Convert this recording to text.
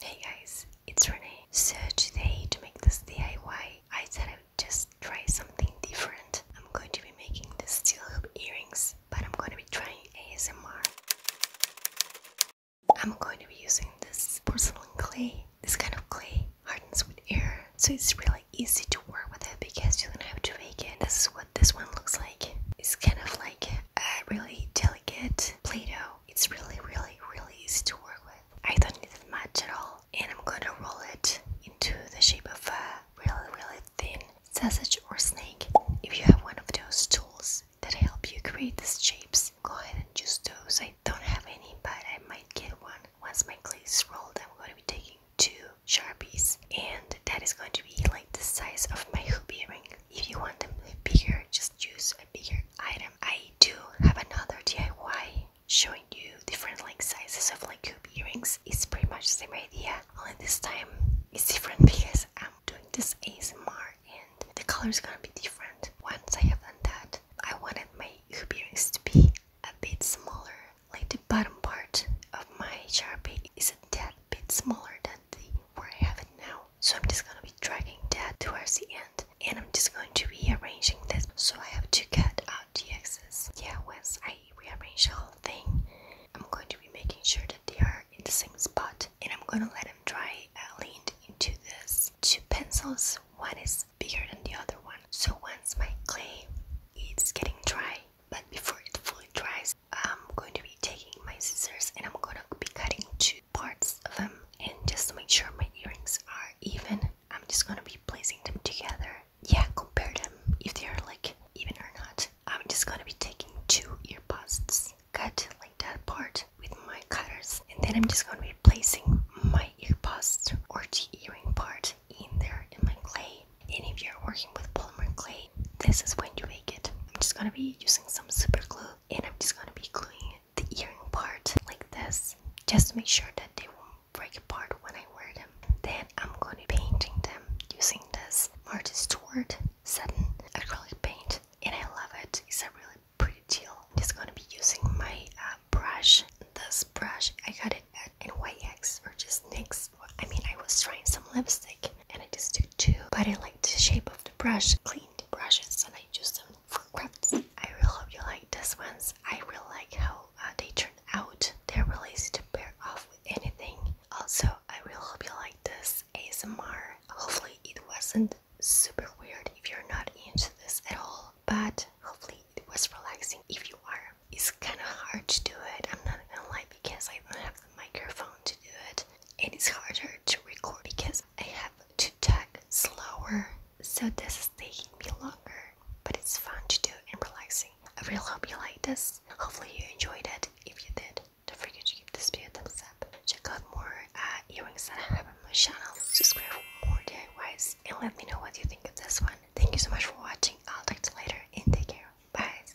Hey guys, it's Renee. So today to make this DIY, I said I would just try something different. I'm going to be making the steel earrings, but I'm going to be trying ASMR. I'm going to be using this porcelain clay. This kind of clay hardens with air, so it's really easy to work with it because you don't have to make it. This is what this one looks like. It's kind of like a really delicate Play-Doh it's really, really, really easy to work with. I don't need much at all. And I'm gonna roll it into the shape of a really, really thin sausage or snake. If you have one of those tools that help you create these shapes, go ahead and use those. I don't have any, but I might get one. Once my clay is rolled, I'm going to be taking two sharpies, and that is going to be like the size of my hoopie ring. If you want them bigger, just choose a bigger item. I do have another DIY showing you different like sizes of like hoop earrings. It's pretty much the same idea, only this time it's different because I'm doing this ASMR and the color is gonna be different. Once I have done that, I wanted my hoop earrings to be a bit smaller. Like the bottom part of my Sharpie is a tad bit smaller than the where I have it now. So I'm just gonna be dragging that towards the end and I'm just going to be arranging this so I have to cut out uh, the excess. Yeah, once I rearrange the whole thing, I'm going to be making sure that they are in the same spot and I'm gonna let them dry uh, leaned into this. Two pencils, one is bigger than the other one. So once my clay is getting dry, but before it fully dries, I'm going to be taking my scissors and I'm going to be cutting two parts of them. And just to make sure my earrings are even, I'm just going to be placing them together. Yeah, compare them if they are like even or not. I'm just going to be taking two ear busts, cut like that part with my cutters. And then I'm just going to be placing my ear bust or the earring part in there in my clay. And if you're working with polymer clay, this is when you make it. I'm just gonna be using some super glue and I'm just gonna be gluing the earring part like this just to make sure that they won't break apart when I wear them. Then I'm gonna be painting them using this artist's word satin acrylic paint and I love it. It's a really pretty teal. I'm just gonna be using my uh, brush. This brush, I got it at NYX or just NYX. I mean, I was trying some lipstick and I just took two, but I like the shape of the brush. Clean the brushes and I use them for crafts. I really hope you like these ones. I really like how uh, they turn out. They're really easy to pair off with anything. Also, I really hope you like this ASMR. Hopefully it wasn't super weird if you're not into this at all. But hopefully it was relaxing if you are. It's kind of hard to do it. I'm not gonna lie because I don't have the microphone to do it it's harder to record because I have to talk slower, so this is taking me longer, but it's fun to do and relaxing. I really hope you liked this. Hopefully you enjoyed it. If you did, don't forget to give this video a thumbs up. Check out more earrings that I have on my channel. Subscribe for more DIYs and let me know what you think of this one. Thank you so much for watching. I'll talk to you later and take care. Bye.